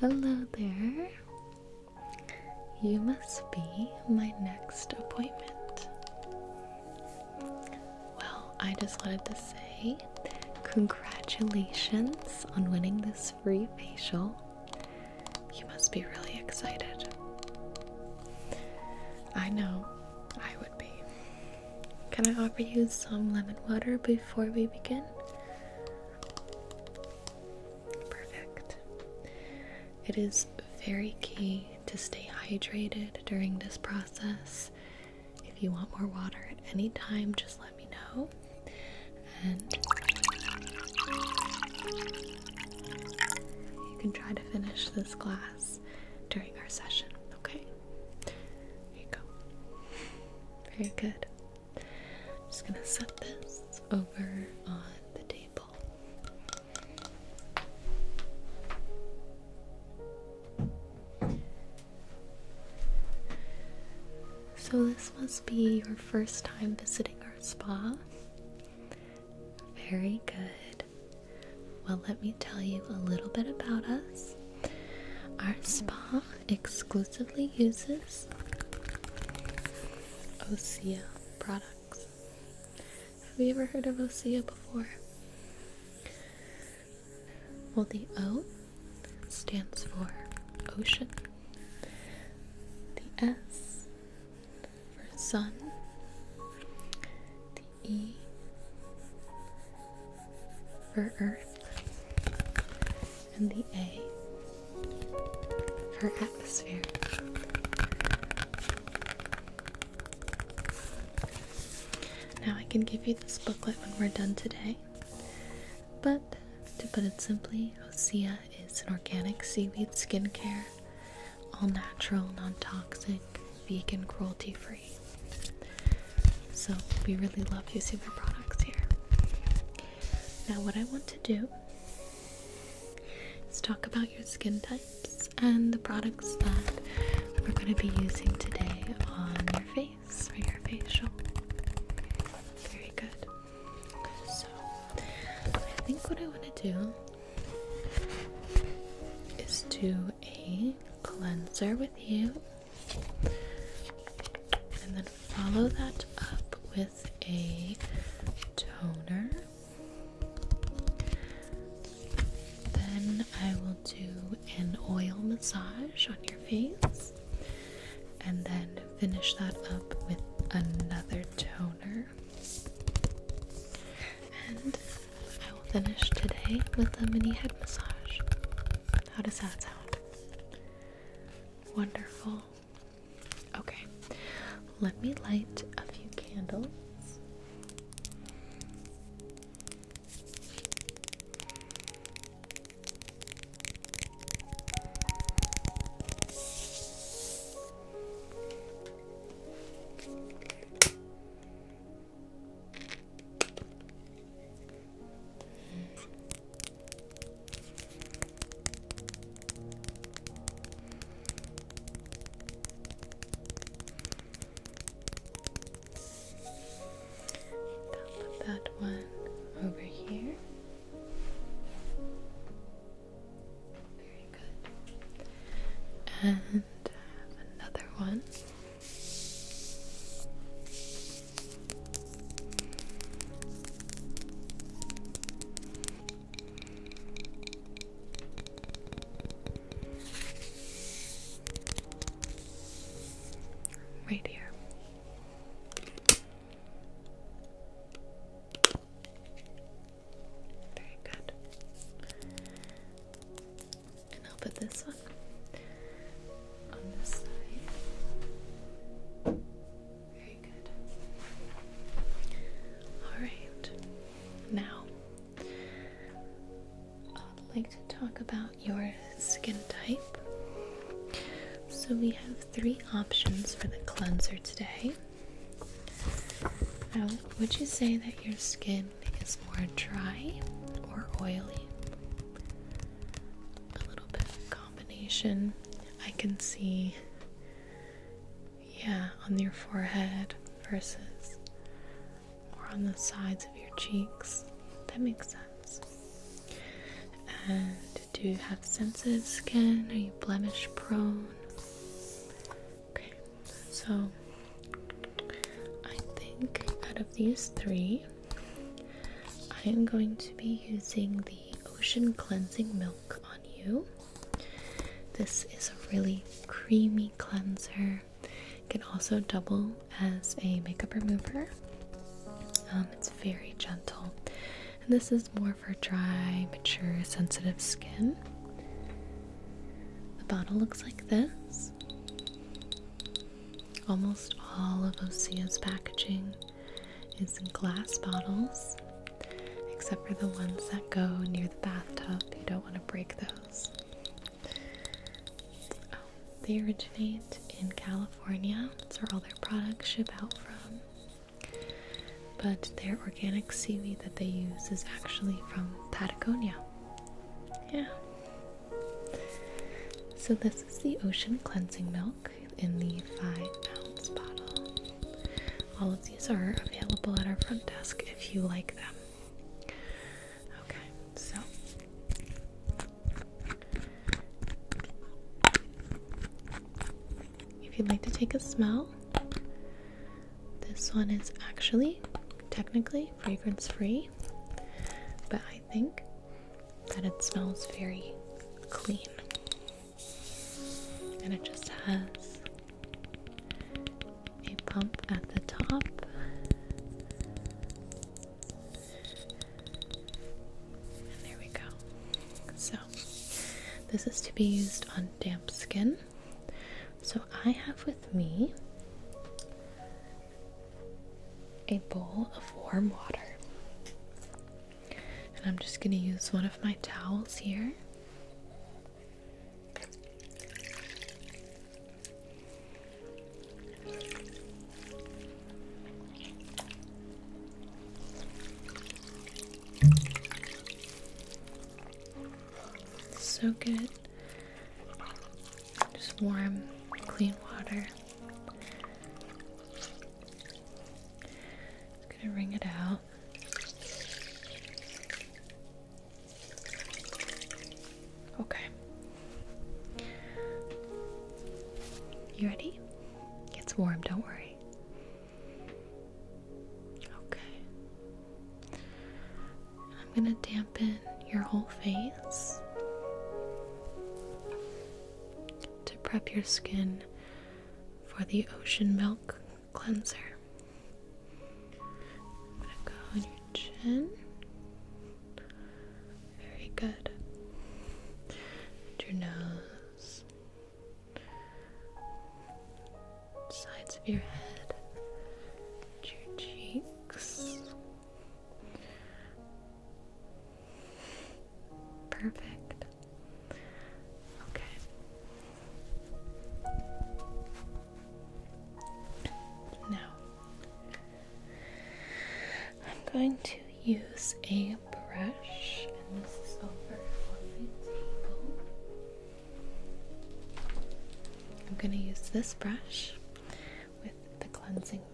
Hello there. You must be my next appointment. Well, I just wanted to say congratulations on winning this free facial. You must be really excited. I know I would be. Can I offer you some lemon water before we begin? Perfect. It is very key to stay hydrated during this process. If you want more water at any time, just let me know. And you can try to finish this glass during our session, okay? There you go. Very good. I'm just gonna set this over on the table. So, this must be your first time visiting our spa. Very good. Well, let me tell you a little bit about us. Our spa exclusively uses Osea products. Have you ever heard of Osea before? Well, the O stands for ocean, the S for sun, E for Earth and the A for atmosphere. Now I can give you this booklet when we're done today, but to put it simply, Osea is an organic seaweed skincare, all natural, non toxic, vegan, cruelty free so we really love using their products here. Now, what I want to do is talk about your skin types and the products that we're going to be using today on your face for your facial. Very good. So, I think what I want to do is do a cleanser with you. And then follow that up with a toner. Then I will do an oil massage on your face and then finish that up with another toner. I will finish today with a mini head massage. How does that sound? Wonderful. Okay, let me light a few candles put that one over here. Very good. And another one. Right here. Very good and I'll put this one on this side. Very good. Alright, now I'd like to talk about your skin type. So, we have three options for the cleanser today. Now, would you say that your skin skin is more dry or oily. A little bit of combination. I can see, yeah, on your forehead versus or on the sides of your cheeks. That makes sense. And do you have sensitive skin? Are you blemish prone? Okay, so I think out of these three, I am going to be using the Ocean Cleansing Milk on you. This is a really creamy cleanser. can also double as a makeup remover. Um, it's very gentle, and this is more for dry, mature, sensitive skin. The bottle looks like this. Almost all of Osea's packaging is in glass bottles, except for the ones that go near the bathtub. You don't want to break those. Oh, they originate in California. That's where all their products ship out from. But their organic seaweed that they use is actually from Patagonia. Yeah, so, this is the Ocean Cleansing Milk in the 5 ounce bottle. All of these are available at our front desk if you like them. Okay, so if you'd like to take a smell, this one is actually technically fragrance free, but I think that it smells very clean and it just has a pump at the top. And there we go. So, this is to be used on damp skin. So, I have with me a bowl of warm water. And I'm just going to use one of my towels here. So good. Just warm, clean water. gonna wring it out. Okay. You ready? It's warm, don't worry. Okay. I'm going to dampen your whole face to prep your skin for the ocean milk cleanser. I'm going to go on your chin. Very good. your nose, sides of your head, your cheeks. Perfect. Okay. Now, I'm going to use a brush, and this is over on my table. I'm going to use this brush with the cleansing. Okay.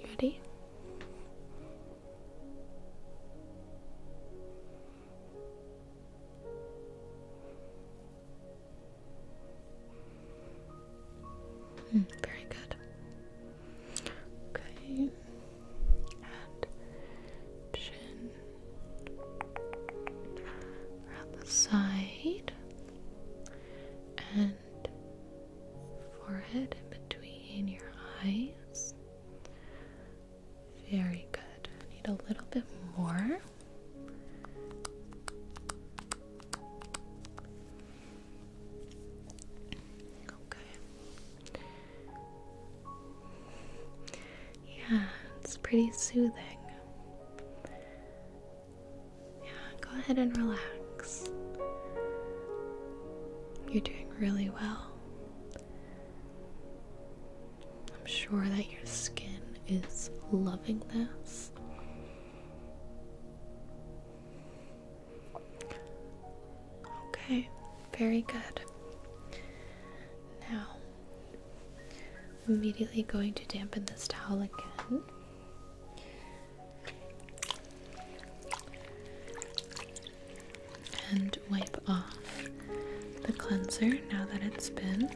You ready? Hmm, very good. Okay. chin around the side and forehead in between your eyes. Very good. need a little bit more. Okay. Yeah, it's pretty soothing. Yeah, go ahead and relax. You're doing really well. I'm sure that your skin is loving this. Okay, very good. Now, I'm immediately going to dampen this towel again. And wipe off the cleanser now that it's been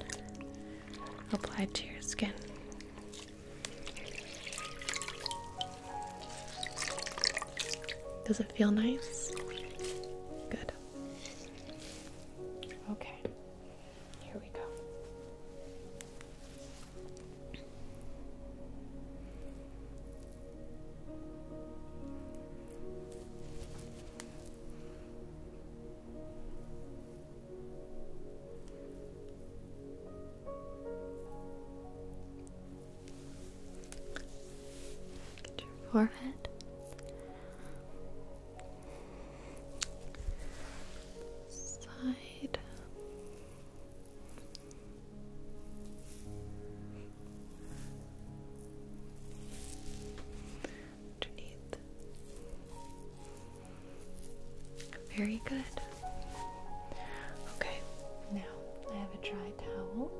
applied to your skin. Does it feel nice? Good. Okay, here we go. Get your forehead. Side. Very good. Okay, now I have a dry towel.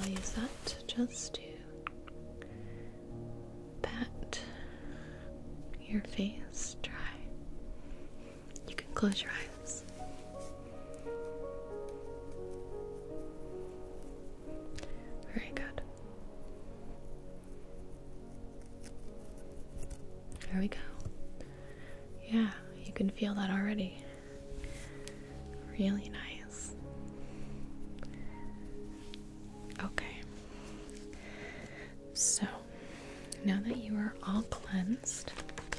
I'll use that just to pat your face dry. You can close your eyes. Very good. There we go. Yeah, you can feel that already. Really nice. Okay. So, now that you are all cleansed,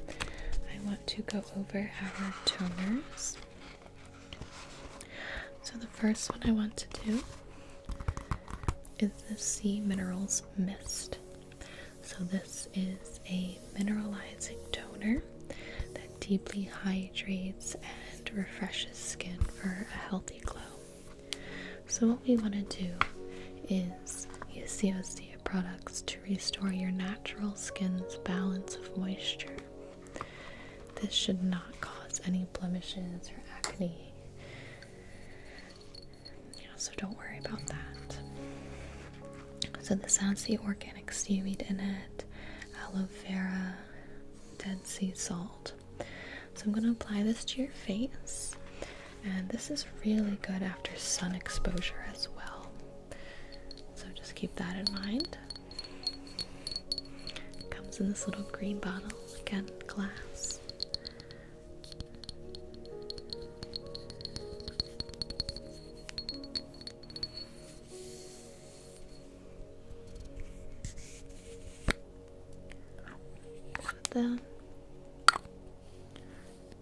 I to go over our toners. So, the first one I want to do is the Sea Minerals Mist. So, this is a mineralizing toner that deeply hydrates and refreshes skin for a healthy glow. So, what we want to do is use the products to restore your natural skin's balance of moisture. This should not cause any blemishes or acne. so don't worry about that. So this has the organic seaweed in it, aloe vera, dead sea salt. So I'm going to apply this to your face, and this is really good after sun exposure as well. So just keep that in mind. It comes in this little green bottle, again, glass. Put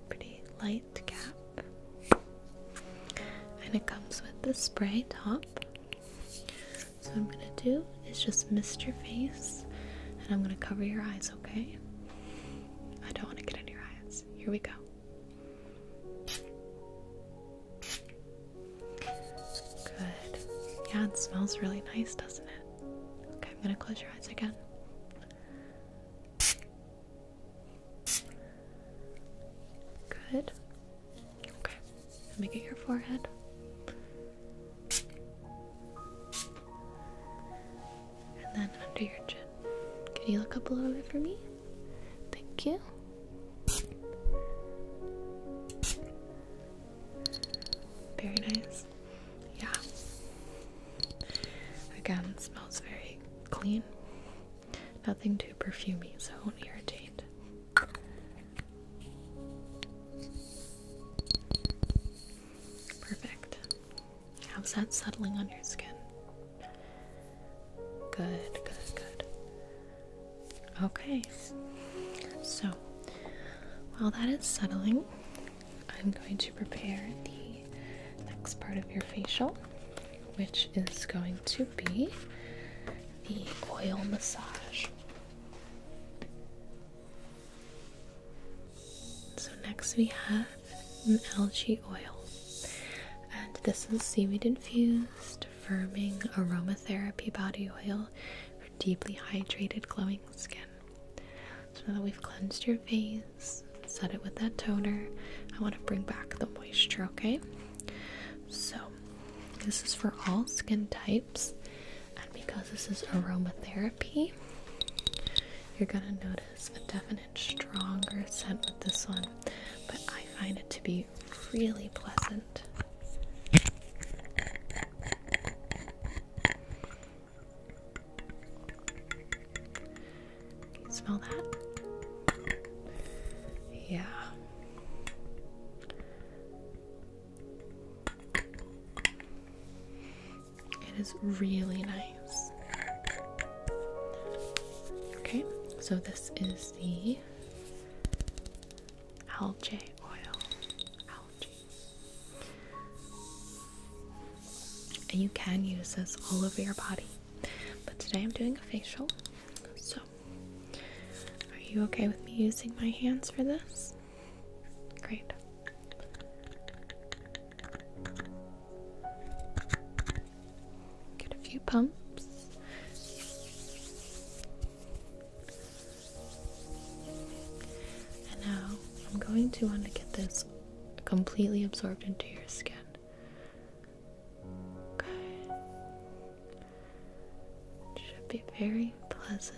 Pretty light cap. And it comes with the spray top. So, I'm gonna do is just mist your face and I'm gonna cover your eyes, okay? I don't wanna get in your eyes. Here we go. Good. Yeah, it smells really nice, doesn't it? Okay, I'm gonna close your eyes again. Good. Okay. Let me get your forehead. And then under your chin. Can you look up a little bit for me? Thank you. Very nice. Yeah. Again, smells very clean. Nothing too perfumey, so it won't irritate. Perfect. How's that settling on your skin? Good, good, good. Okay, so while that is settling, I'm going to prepare the next part of your facial which is going to be the oil massage. So, next we have an algae oil, and this is seaweed infused, firming aromatherapy body oil for deeply hydrated, glowing skin. So, now that we've cleansed your face, set it with that toner. I want to bring back the moisture, okay? So, this is for all skin types, and because this is aromatherapy, you're gonna notice a definite stronger scent with this one, but I find it to be really pleasant. Can you smell that? Yeah. It is really nice. Okay, so this is the algae oil. Algae. And you can use this all over your body. But today I'm doing a facial. So, are you okay with me using my hands for this? Great. Get a few pumps. And now I'm going to want to get this completely absorbed into your skin. It should be very pleasant.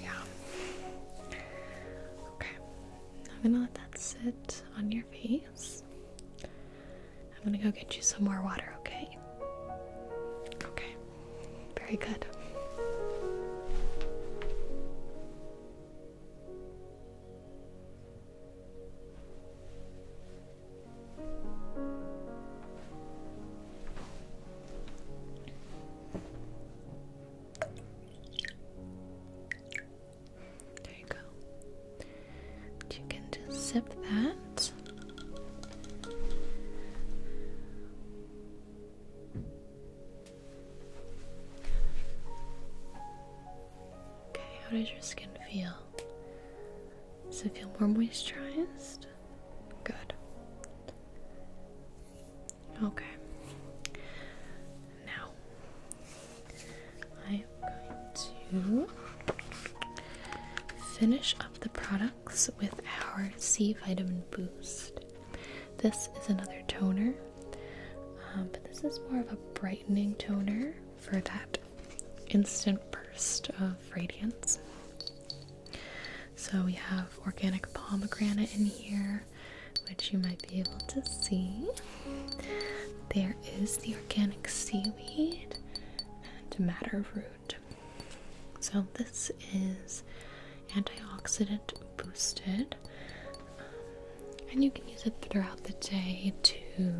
Yeah. Okay. I'm gonna let that sit on your face. I'm gonna go get you some more water, okay? Okay. Very good. There you go. You can just sip that. Okay, how does your skin feel? Does it feel more moisturized? Good. Okay. Now I am going to finish up the products with our C vitamin boost. This is another toner, um, but this is more of a brightening toner for that instant burst of radiance. So we have organic pomegranate in here, which you might be able to see. There is the organic seaweed and matter root. So this is antioxidant boosted. Um, and you can use it throughout the day to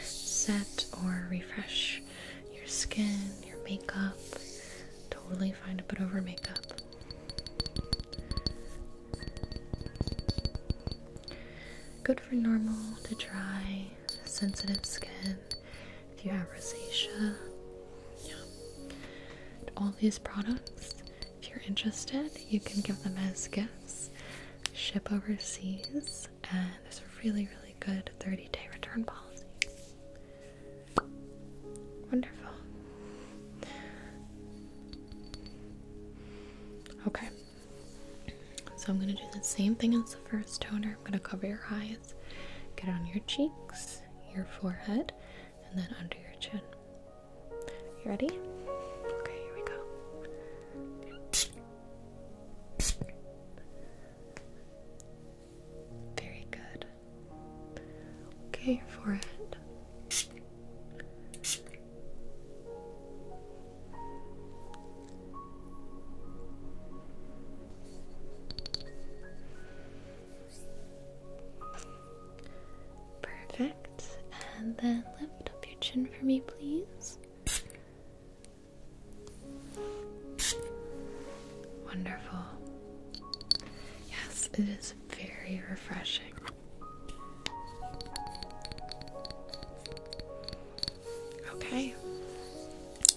set or refresh your skin, your makeup. Totally fine to put over makeup. Good for normal to dry, sensitive skin. If you have rosacea, yeah. All these products, if you're interested, you can give them as gifts, ship overseas, and there's a really, really good 30 day return policy. Wonderful. Okay. So I'm going to do the same thing as the first toner. I'm going to cover your eyes, get on your cheeks, your forehead, and then under your chin. You ready? Okay, here we go. Very good. Okay, your forehead. Perfect. And then lift up your chin for me, please. Wonderful. Yes, it is very refreshing. Okay,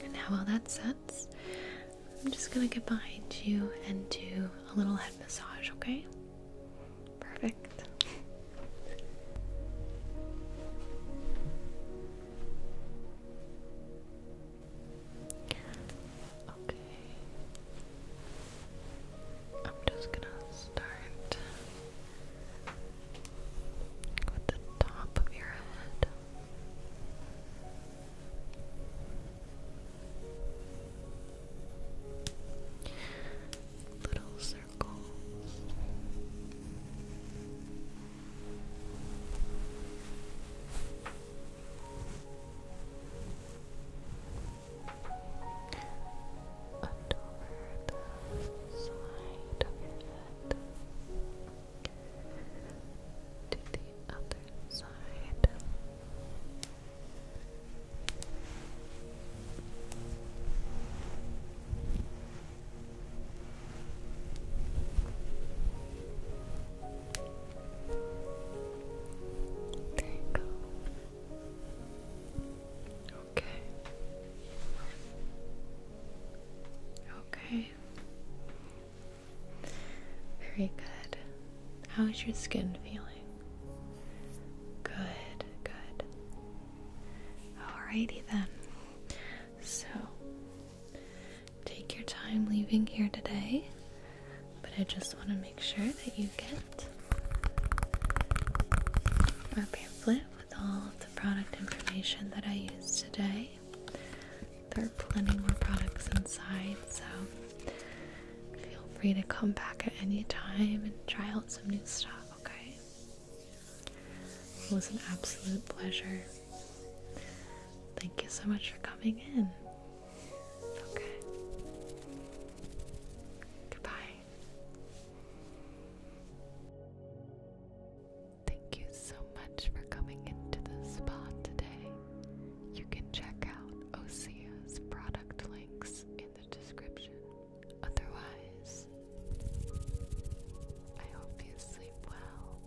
and now while that sets, I'm just gonna get behind you and do a little head massage, okay? Perfect. Okay. I'm just gonna start with the top of your head. Little circles and over the side of to the other side. There you go. Okay. Okay. Very good. How is your skin feeling? Good, good. Alrighty then. So take your time leaving here today, but I just want to make sure that you get our pamphlet with all of the product information that I used today. There are plenty more products inside, so feel free to come back at any time and try out some new stuff, okay? It was an absolute pleasure Thank you so much for coming in. Okay. Goodbye. Thank you so much for coming into the spa today. You can check out Osea's product links in the description. Otherwise, I hope you sleep well.